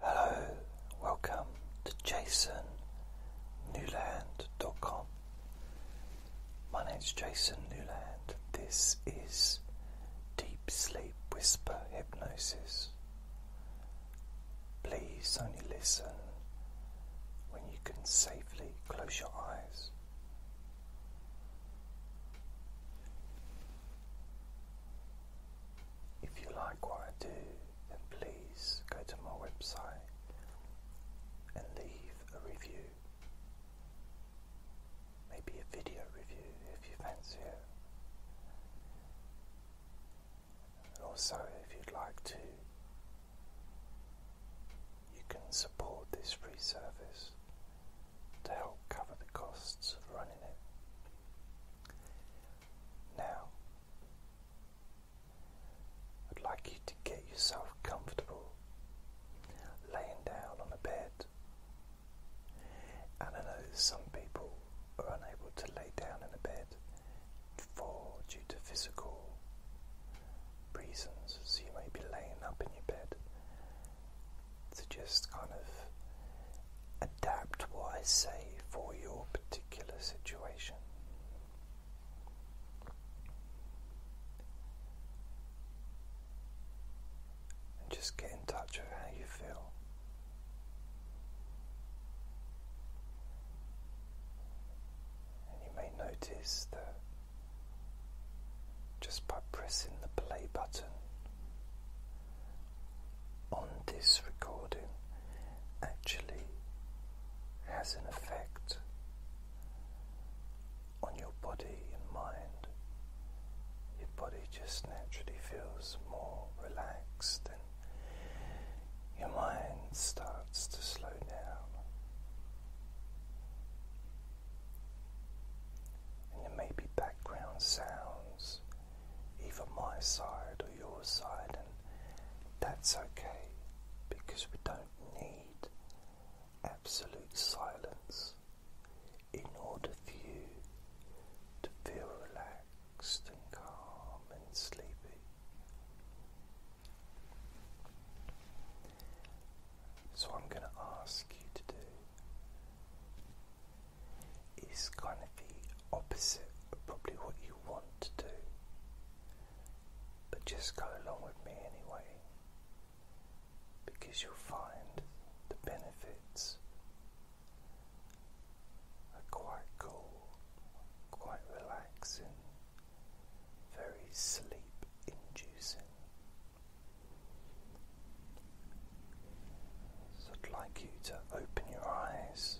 Hello, welcome to Jason Newland.com. My name is Jason Newland. This is Deep Sleep Whisper Hypnosis. Please only listen when you can safely close your eyes. If you like what I do, then please go to my website and leave a review. Maybe a video review if you fancy it. And also, if you'd like to, you can support this free service to help cover the costs of running it. Now, I'd like you to get yourself comfortable laying down on a bed. And I know some people are unable to lay down in a bed for due to physical reasons, so you may be laying up in your bed. to just kind of Adapt what I say for your particular situation. And just get in touch with how you feel. And you may notice that just by pressing the play button on this recording actually has an effect on your body and mind. Your body just naturally feels more relaxed and your mind starts to slow down. And there background sounds, either my side or your side, that's okay because we don't need absolute silence in order for you to feel relaxed and calm and sleepy. So, I'm going to ask you to do is kind of the opposite of probably what you want to do. But just go along with me anyway, because you'll find the benefits are quite cool, quite relaxing, very sleep inducing. I'd like you to open your eyes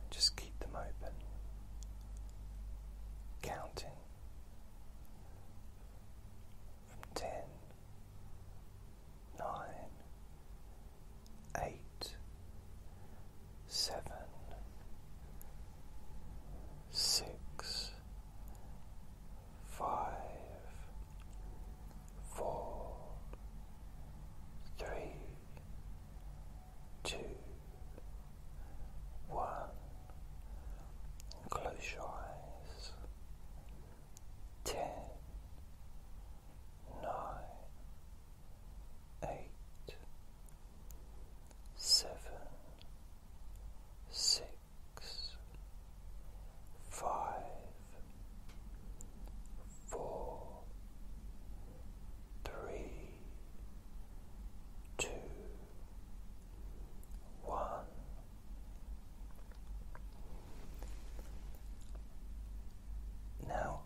and just keep them open, counting from ten, nine, eight, seven, six, five, four, three, two, one. Close your eyes. Ten, nine, eight, seven, six, five, four, three, two, one. Now,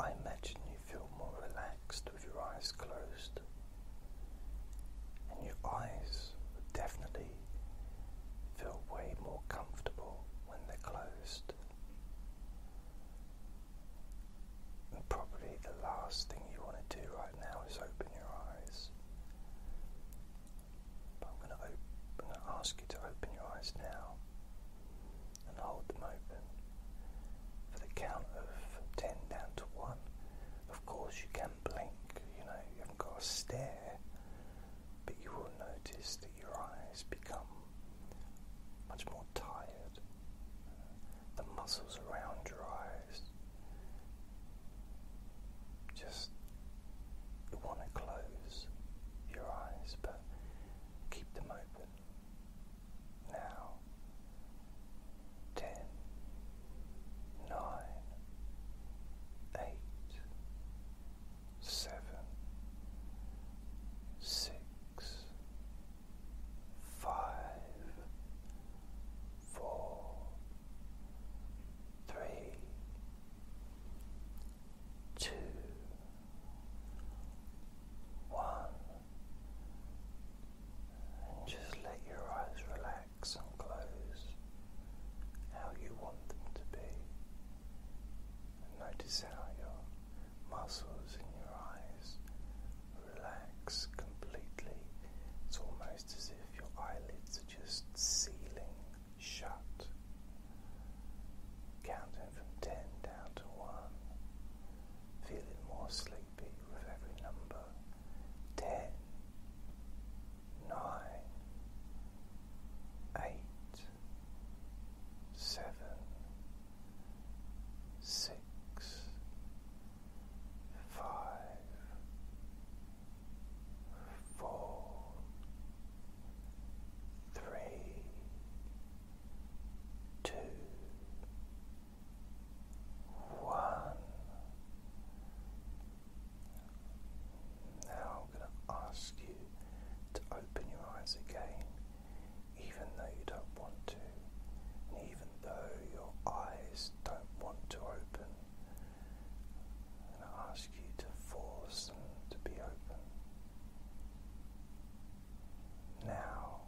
I imagine you feel more relaxed with your eyes closed, and your eyes would definitely feel way more comfortable when they're closed. And probably the last thing you want to do right now is open your eyes. But I'm going to open, ask you to open your eyes now and hold them open for the count of 10 down to 1. Of course, you can blink, you know, you haven't got to stare, but you will notice that your eyes become much more tired. The muscles around your eyes just want to close your eyes, but keep them open. Now, ten, nine, eight, seven, six, five, four, three, two, one, and just let your eyes relax and close how you want them to be. And notice how you're muscles in your eyes relax completely. It's almost as if your eyelids are just sealing shut. Counting from 10 down to 1. Feeling more sleepy with every number. Ten, 8, seven, six, five, four, three, two, one. Now I'm going to ask you to open your eyes again even though you don't want to, and even though your eyes don't want to open. And I ask you to force them to be open. Now,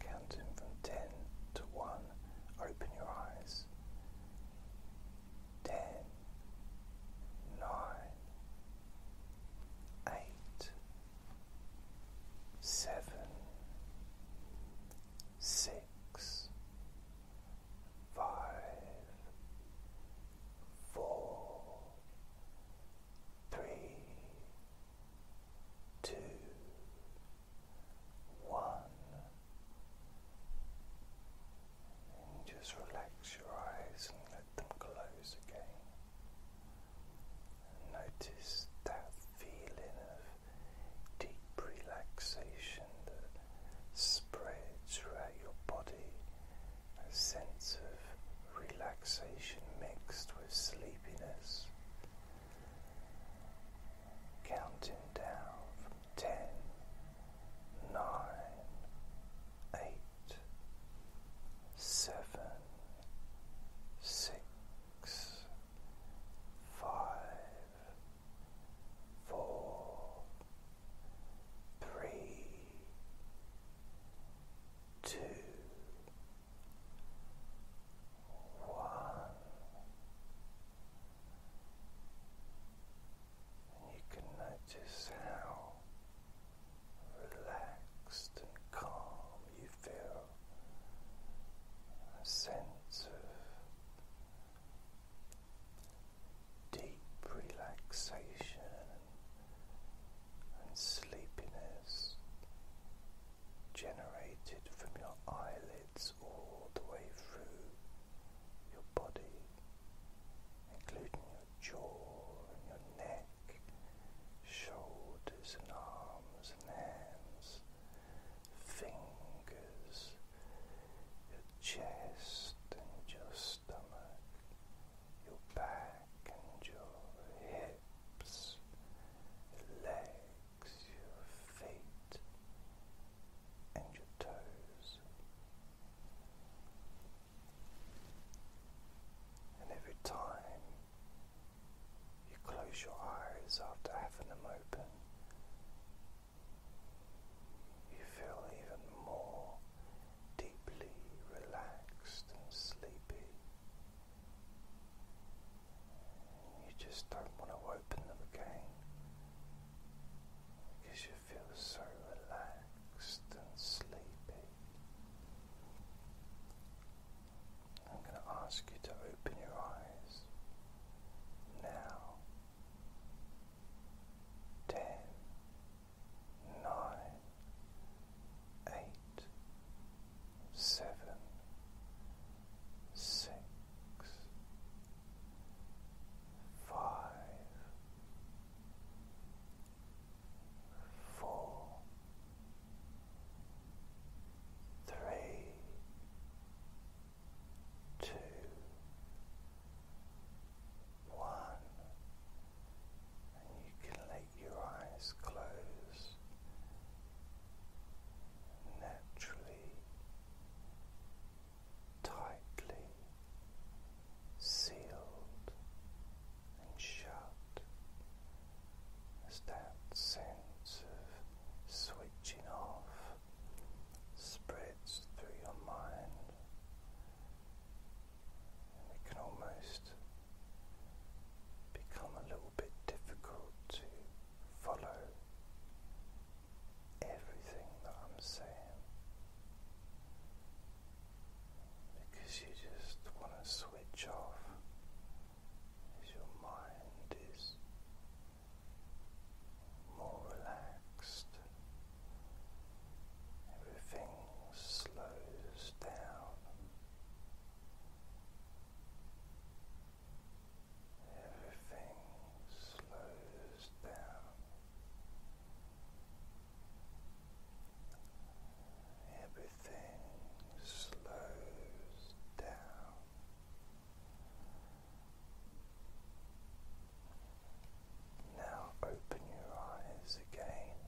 counting from 10 to 1, open your eyes. 10, 8, seven, six, five, four, three, two, one, and just relax your eyes and let them close again. Notice that feeling of deep relaxation that spreads throughout your body, a sense of relaxation mixed with sleepiness. Counting down from ten, nine, eight, seven, six, five, four, three, two, one. And you can notice how relaxed and calm you feel, a sense of deep relaxation and sleepiness generated from your eyelids all the way through your body, including your jaw and your neck, shoulders and arms and hands, fingers, your chest and your stomach, your back and your hips, your legs, your feet, and your toes. And every time you close your eyes after having them open, you feel even more deeply relaxed and sleepy. you just don't want to open them again because you feel so relaxed and sleepy. I'm going to ask you to open your eyes now. Ten, nine, eight, seven, six, five, four, three, two, one, and you can let your eyes close naturally, tightly sealed and shut as that sense of switching off spreads through your mind, and it can almost become a little bit difficult to follow everything that I'm saying because you just want to switch off as your mind is more relaxed. Everything slows down. Everything slows down everything slows down. Now open your eyes again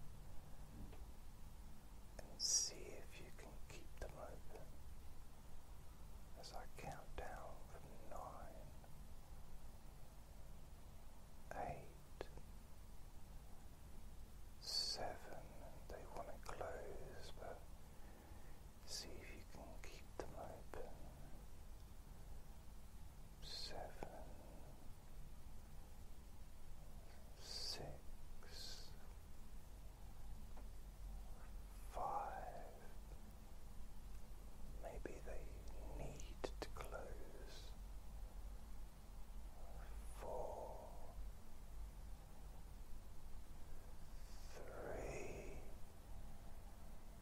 and see if you can keep them open as I count down from nine, eight seven they want to close, but see if you can keep them open. Seven, six, five. Maybe they need to close four, three.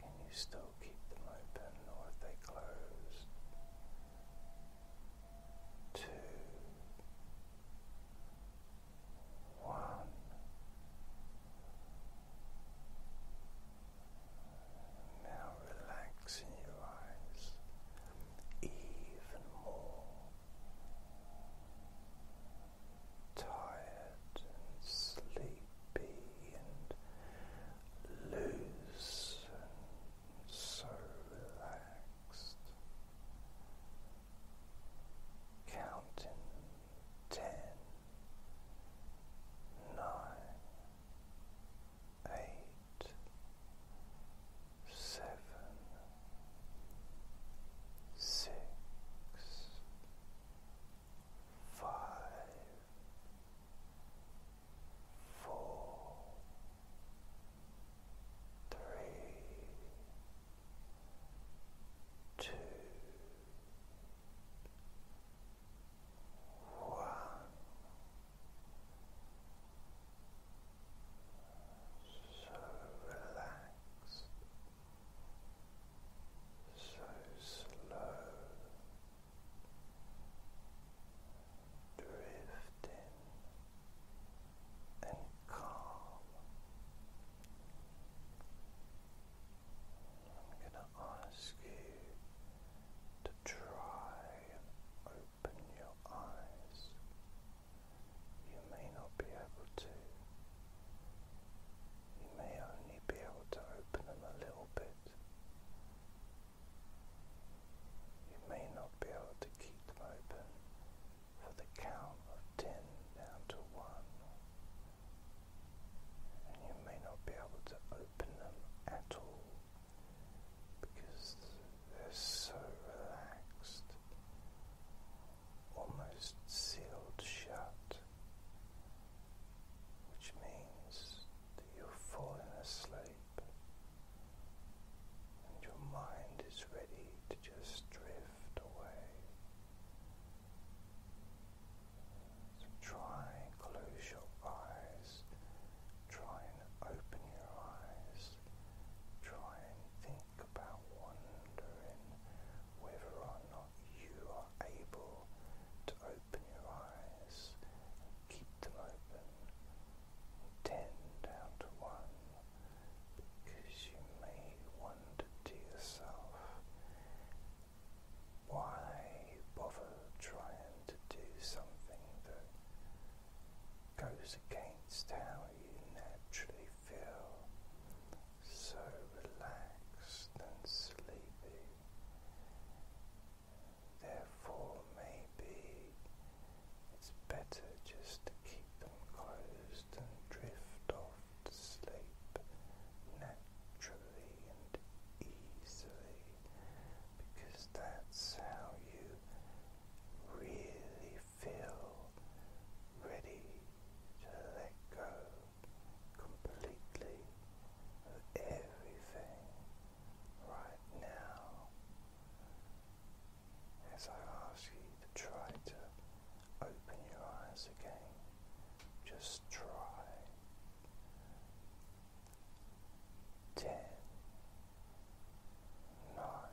Can you still keep them open or if they closed? Two, one. Now relaxing your eyes even more tired and sleepy and loose and so relaxed. Counting ten, nine, eight, seven, six, five, four, three, two, one so relaxed, so slow, drifting and calm. I'm going to ask you to try and open your eyes you may not be able to. You may only be able to open them a little bit. You may not be able to keep them open for the count of 10 down to 1. And you may not be able to open them at all because they're so relaxed, almost sealed shut, which means that you have fallen asleep and your mind is ready to just drift away. try and close your eyes, try and open your eyes, try and think about wondering whether or not you are able to open your eyes keep them open. Ten down to one, because you may wonder to yourself, why bother trying to do something that goes against how you naturally feel so relaxed and sleepy. Therefore, maybe it's better just to keep them closed and drift off to sleep naturally and easily because that's how you really feel ready to let go completely of everything right now. As I ask you to try to open your eyes again, just try. Ten, nine,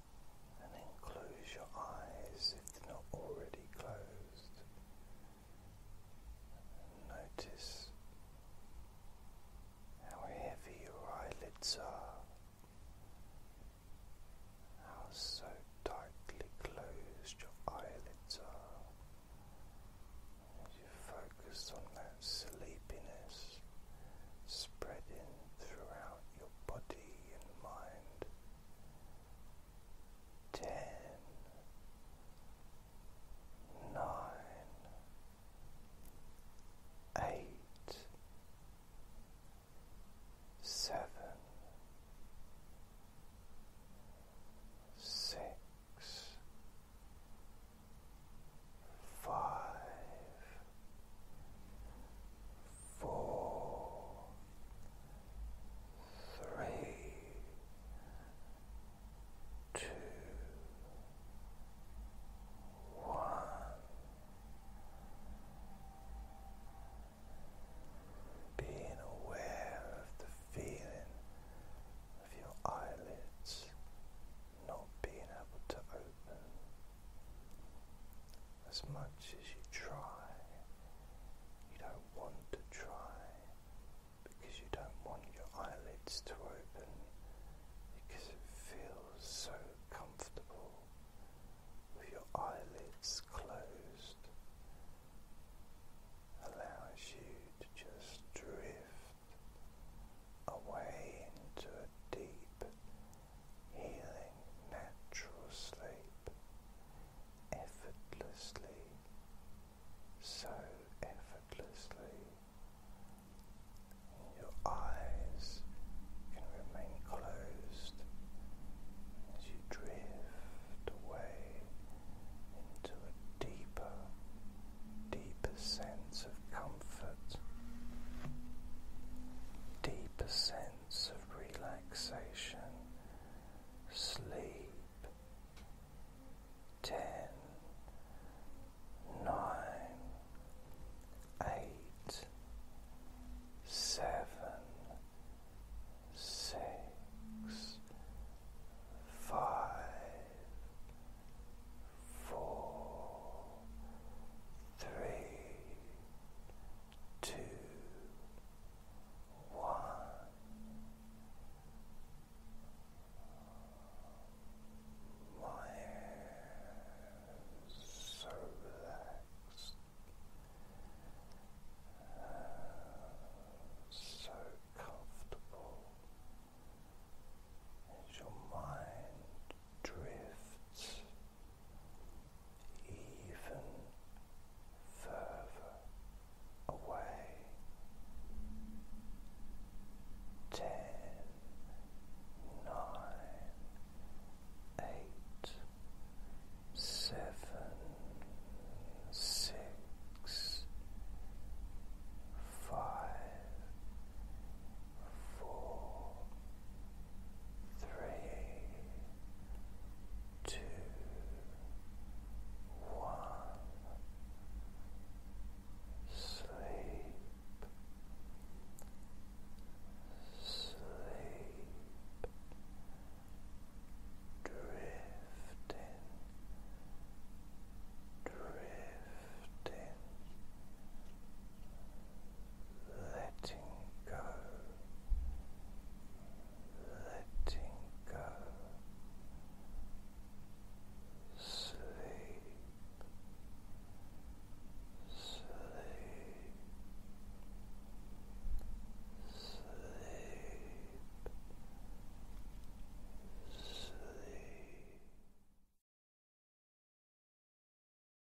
and then close your eyes if they're not already closed. notice how heavy your eyelids are, how so tightly closed your eyelids are. As you focus on that sleepiness spreading throughout your body and mind. Ten, nine, eight, seven, six, five four, three, two, one. Being aware of the feeling of your eyelids not being able to open. As much as you try, you don't want to try because you don't want your eyelids to open because it feels so comfortable with your eyelids closed. Allows you to just drift away into a deep healing natural sleep effortlessly, so effortlessly. Your eyes can remain closed as you drift away into a deeper, deeper sense of comfort, deeper sense of relaxation, sleep. Ten, nine, eight, seven, six, five, four, three, two, one. My hair so relaxed, so comfortable as your mind drifts even further away. Ten, nine, eight, seven, six, five, four, three, two, one. Sleep, sleep, drifting, drifting, letting go, letting go, sleep, sleep, sleep, sleep.